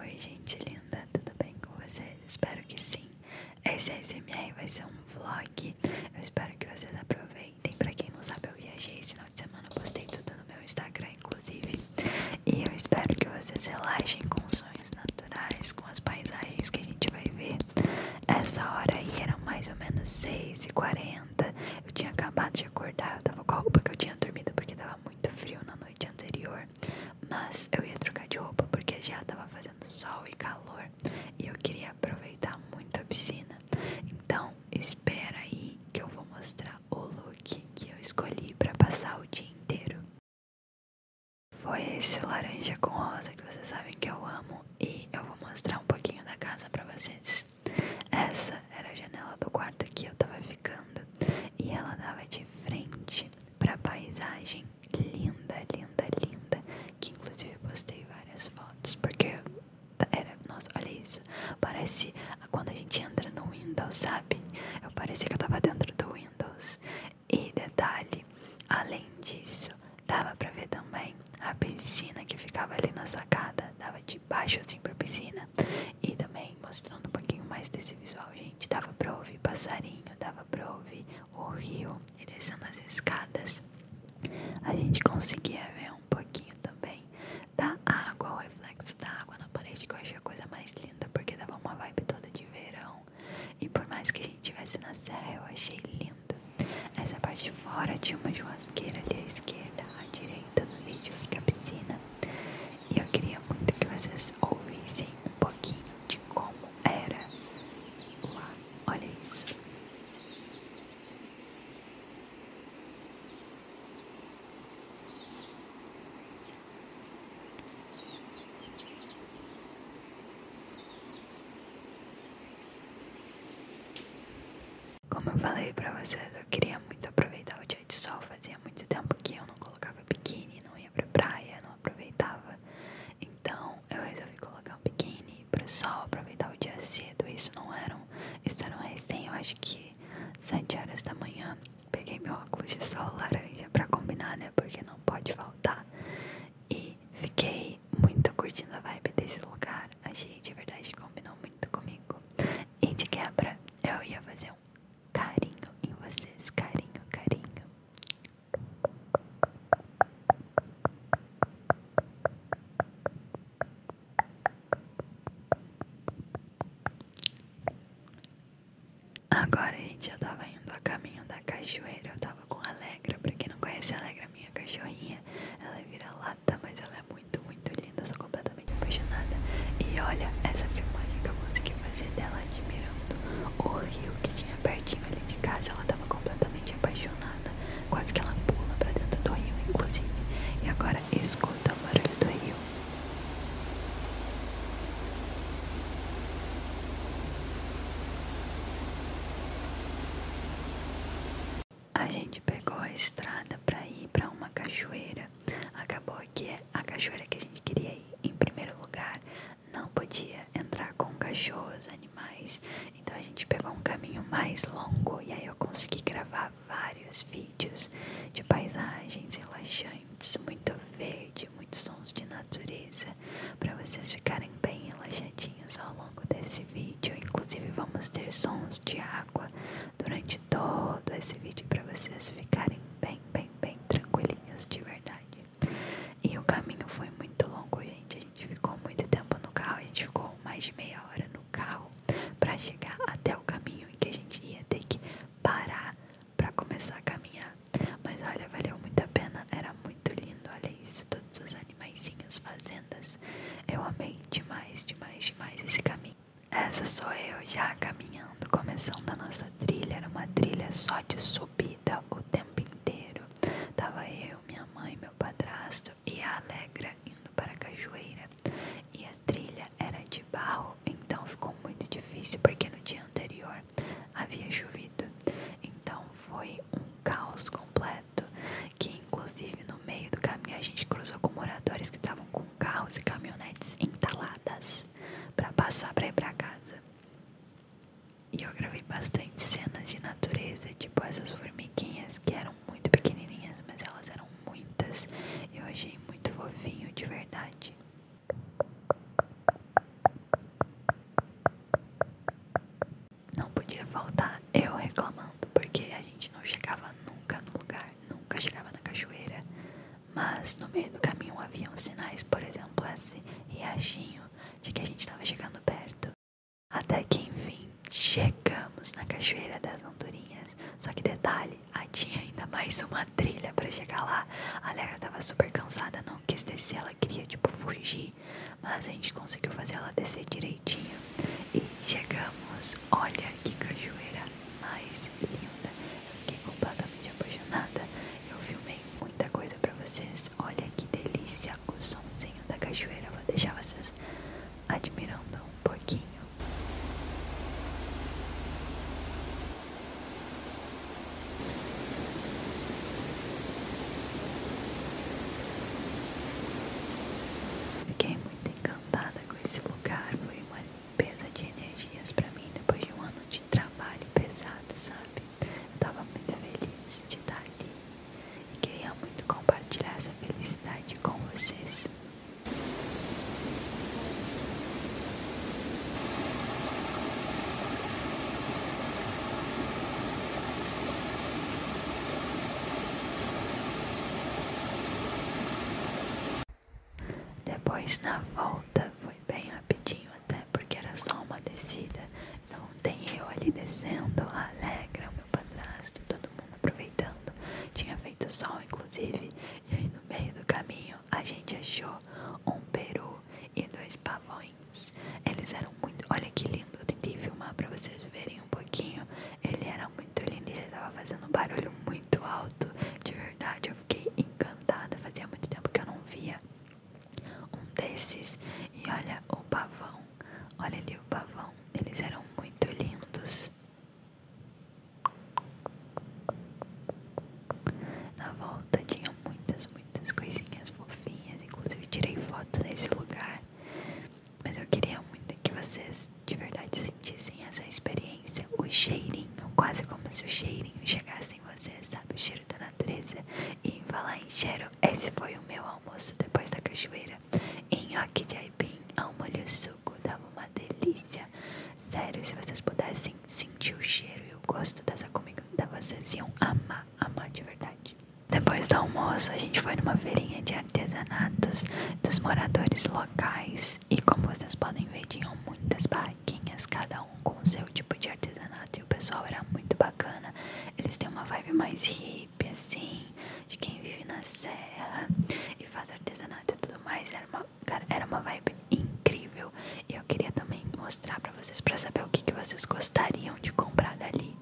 Oi, gente linda, tudo bem com vocês? Espero que sim. Esse ASMR é vai ser um vlog. Eu espero que vocês aproveitem. Pra quem não sabe, eu viajei esse final de semana, postei tudo no meu Instagram, inclusive. E eu espero que vocês relaxem com sonhos naturais, com as paisagens que a gente vai ver. Essa hora aí eram mais ou menos 6h40. Eu tinha acabado de acordar, eu tava com a roupa que eu tinha dormido porque tava muito frio na noite anterior, mas eu ia trocar de roupa porque já tava fazendo sol e calor e eu queria aproveitar muito a piscina. Então, espera aí que eu vou mostrar o look que eu escolhi para passar o dia inteiro. Foi esse laranja com rosa que vocês sabem que eu amo e eu vou mostrar um pouquinho da casa para vocês. Essa era a janela do quarto que eu tava ficando e ela dava de frente para paisagem linda, linda, linda, que inclusive postei várias fotos porque era, nossa, olha isso, parece quando a gente entra no Windows, sabe? Eu parecia que eu tava dentro do Windows. E detalhe, além disso, dava para ver também a piscina que ficava ali na sacada, dava de baixo assim pra piscina. E também mostrando um pouquinho mais desse visual, gente. Dava pra ouvir passarinho, dava pra ouvir o rio e descendo as escadas. A gente conseguia ver um pouquinho também da água, o reflexo da água na parede, que eu achei a coisa mais linda, porque dava uma vibe toda de verão. E por mais que a gente estivesse na serra, eu achei lindo. Essa parte de fora tinha uma churrasqueira ali à esquerda, à direita no vídeo fica a piscina. E eu queria muito que vocês ouvissem um pouquinho de como era lá. Olha isso. Como eu falei pra vocês, eu queria muito aproveitar o dia de sol. Fazia muito tempo que eu não colocava biquíni, não ia pra praia, não aproveitava. Então eu resolvi colocar um biquíni pro sol, aproveitar o dia cedo. Isso não era um. Isso era eu acho que 7 horas da manhã. Peguei meu óculos de sol laranja pra combinar, né? Porque não pode faltar. E fiquei muito curtindo a vibe desse lugar. Achei de verdade que combinou muito comigo. E de quebra, eu ia fazer um carinho em vocês, carinho, carinho. Agora a gente já tava indo a caminho da cachoeira. Eu tava com a Alegra. Pra quem não conhece, a Alegra, é minha cachorrinha, ela vira lá mata, mas ela é muito, muito linda. Eu sou completamente apaixonada. E olha essa filmagem que eu consegui fazer dela admirando o rio que tinha pertinho ali de casa. Ela tava completamente apaixonada. Quase que ela pula pra dentro do rio, inclusive. E agora escuta o barulho do rio. A gente pegou a estrada para ir para uma cachoeira. Acabou que a cachoeira que a gente queria ir, em primeiro lugar, não podia entrar com cachorros, animais. Então a gente pegou um caminho mais longo e aí eu consegui gravar vários vídeos de paisagens relaxantes, muito verde, muitos sons de natureza, para vocês ficarem bem relaxadinhos ao longo desse vídeo. Inclusive vamos ter sons de água durante todo esse vídeo para vocês ficarem bem, bem, bem tranquilinhos de verdade. E o caminho foi muito longo, gente. A gente ficou muito tempo no carro, a gente ficou mais de meia hora no carro para chegar até o caminho em que a gente ia ter que parar para começar a caminhar. Mas olha, valeu muito a pena, era muito lindo, olha isso, todos os animaizinhos, fazendas. Eu amei demais, demais, demais esse caminho essa sou eu já caminhando, começando a nossa trilha. Era uma trilha só de subida o tempo inteiro. Tava eu, minha mãe, meu padrasto e a Alegra indo para a cachoeira. E a trilha era de barro, então ficou muito difícil porque no dia anterior havia chovido. Então foi um caos completo que inclusive no meio do caminho a gente cruzou com moradores que estavam com carros e caminhonetes entaladas para passar para ir para casa. E eu gravei bastante cenas de natureza, tipo essas formiguinhas que eram muito pequenininhas, mas elas eram muitas. Eu achei muito fofinho de verdade. Não podia faltar eu reclamando, porque a gente não chegava nunca no lugar, nunca chegava na cachoeira. Mas no meio do caminho haviam sinais, por exemplo, esse riachinho de que a gente estava chegando perto. Até que enfim chegamos na cachoeira das Andorinhas. Só que detalhe, aí tinha ainda mais uma trilha para chegar lá. A Lera estava super cansada, não quis descer, ela queria tipo fugir, mas a gente conseguiu fazer ela descer direitinho. E chegamos, olha que cachoeira mais linda. Eu fiquei completamente apaixonada. Eu filmei muita coisa pra vocês. Olha que delícia o somzinho da cachoeira. Vou deixar vocês admirando um pouquinho. Fiquei muito encantada com esse lugar. Foi uma limpeza de energias para mim depois de um ano de trabalho pesado, sabe? Eu tava muito feliz de estar tá ali e queria muito compartilhar essa felicidade com vocês. Depois na volta foi bem rapidinho até porque era só uma descida. Então tem eu ali descendo, a Alegra, o meu padrasto, todo mundo aproveitando. Tinha feito sol inclusive. E aí no meio do caminho a gente achou um peru e dois pavões. Eles eram muito. Olha que lindo, eu tentei filmar para vocês verem um pouquinho. Ele era muito lindo e ele tava fazendo um barulho muito alto. De verdade, eu fiquei encantada. Fazia muito tempo que eu não via um desses. E olha o pavão. Olha ali o pavão. Eles eram muito lindos. Na volta tinha muitas, muitas coisinhas fofinhas. Inclusive tirei foto nesse lugar. Mas eu queria muito que vocês de verdade sentissem essa experiência, o cheirinho, quase como se o cheirinho chegasse em vocês, sabe? O cheiro da natureza. E em falar em cheiro, esse foi o meu almoço depois da cachoeira. Nhoque de aipim ao molho suco, dava uma delícia. Sério, se vocês pudessem sentir o cheiro e o gosto dessa comida, vocês iam amar, amar de verdade. Depois do almoço, a gente foi numa feirinha de artesanatos dos moradores locais. E como vocês podem ver, tinham muitas barraquinhas, cada um com o seu tipo de artesanato. E o pessoal era muito bacana. Eles têm uma vibe mais hippie, assim, de quem vive na serra e faz artesanato e tudo mais. Era uma, era uma vibe incrível. E eu queria também mostrar pra vocês, pra saber o que, que vocês gostariam de comprar dali.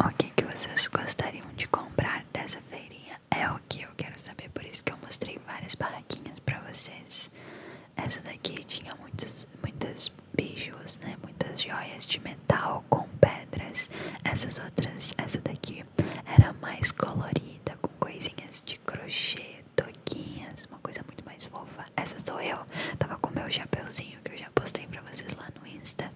O que, que vocês gostariam de comprar dessa feirinha? É o que eu quero saber, por isso que eu mostrei várias barraquinhas para vocês. Essa daqui tinha muitos, muitas beijos, né? Muitas joias de metal com pedras. Essas outras, essa daqui era mais colorida, com coisinhas de crochê, toquinhas, uma coisa muito mais fofa. Essa sou eu, tava com meu chapeuzinho que eu já postei pra vocês lá no Insta.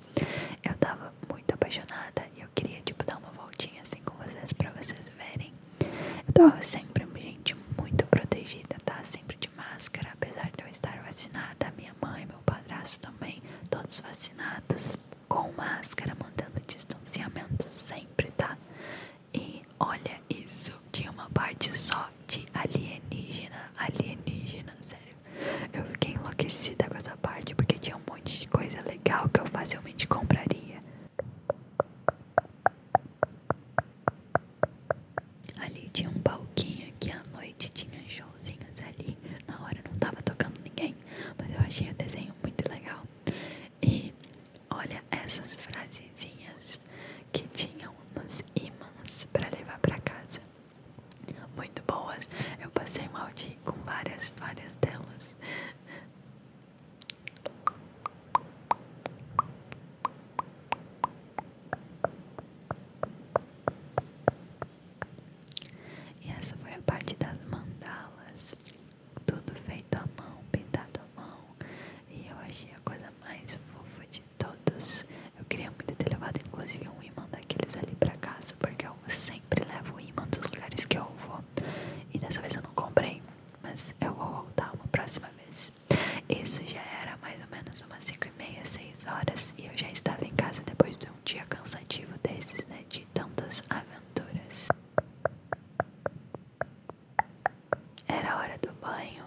Eu tava muito apaixonada e eu queria, tipo, dar uma voltinha assim com vocês pra vocês verem. Eu tava sempre, gente, muito protegida, tá? Sempre de máscara, apesar de eu estar vacinada. Minha mãe, meu padrasto também, todos vacinados, com máscara, mantendo distanciamento sempre, tá? E olha isso, tinha uma parte só de alienígena, alienígena, sério. Eu fiquei enlouquecida com essa parte porque tinha um monte de coisa legal que eu facilmente compraria. Ali tinha um balquinho que à noite tinha showzinhos ali. Na hora não tava tocando ninguém, mas eu achei o desenho muito legal. E olha essas frasezinhas que tinham nos ímãs para levar para casa muito boas. Eu passei mal de com várias, várias delas. E essa foi a parte das mandalas, tudo feito à mão, pintado à mão, e eu achei a coisa mais fofa de todos. Eu queria muito ter levado, inclusive, um imã daqueles ali pra casa, porque eu sempre levo o imã dos lugares que eu vou. E dessa vez eu não comprei, mas eu vou voltar uma próxima vez. Isso já era mais ou menos umas 5 e meia, 6 horas, e eu já estava em casa depois de um dia cansativo desses, né? De tantas aventuras. Era hora do banho,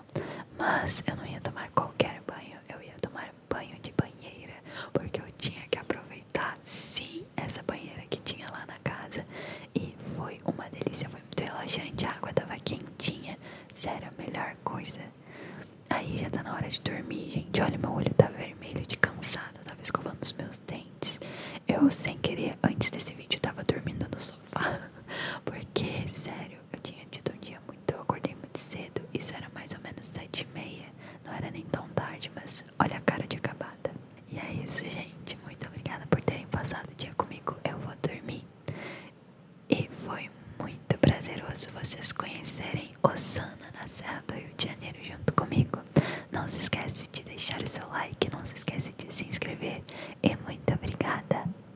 mas eu não ia tomar qualquer banho eu ia tomar banho de banheira, porque eu tinha que aproveitar sim essa banheira que tinha lá na casa. E foi uma delícia, foi muito relaxante, a água tava quentinha, sério, a melhor coisa. Aí já tá na hora de dormir, gente. Olha, meu olho tá vermelho de cansado, eu tava escovando os meus dentes. Eu, sem querer, antes desse vídeo, tava dormindo no sofá. Porque, sério, eu tinha tido um dia muito. Eu acordei muito cedo. Isso era mais ou menos sete e meia. Não era nem tão tarde, mas olha a cara de acabada. E é isso, gente. Muito obrigada por terem passado o dia comigo. Eu vou dormir. E foi muito prazeroso vocês conhecerem Osana na Serra do Rio de Janeiro junto comigo. Não se esquece de deixar o seu like, não se esquece de se inscrever. E muito obrigada.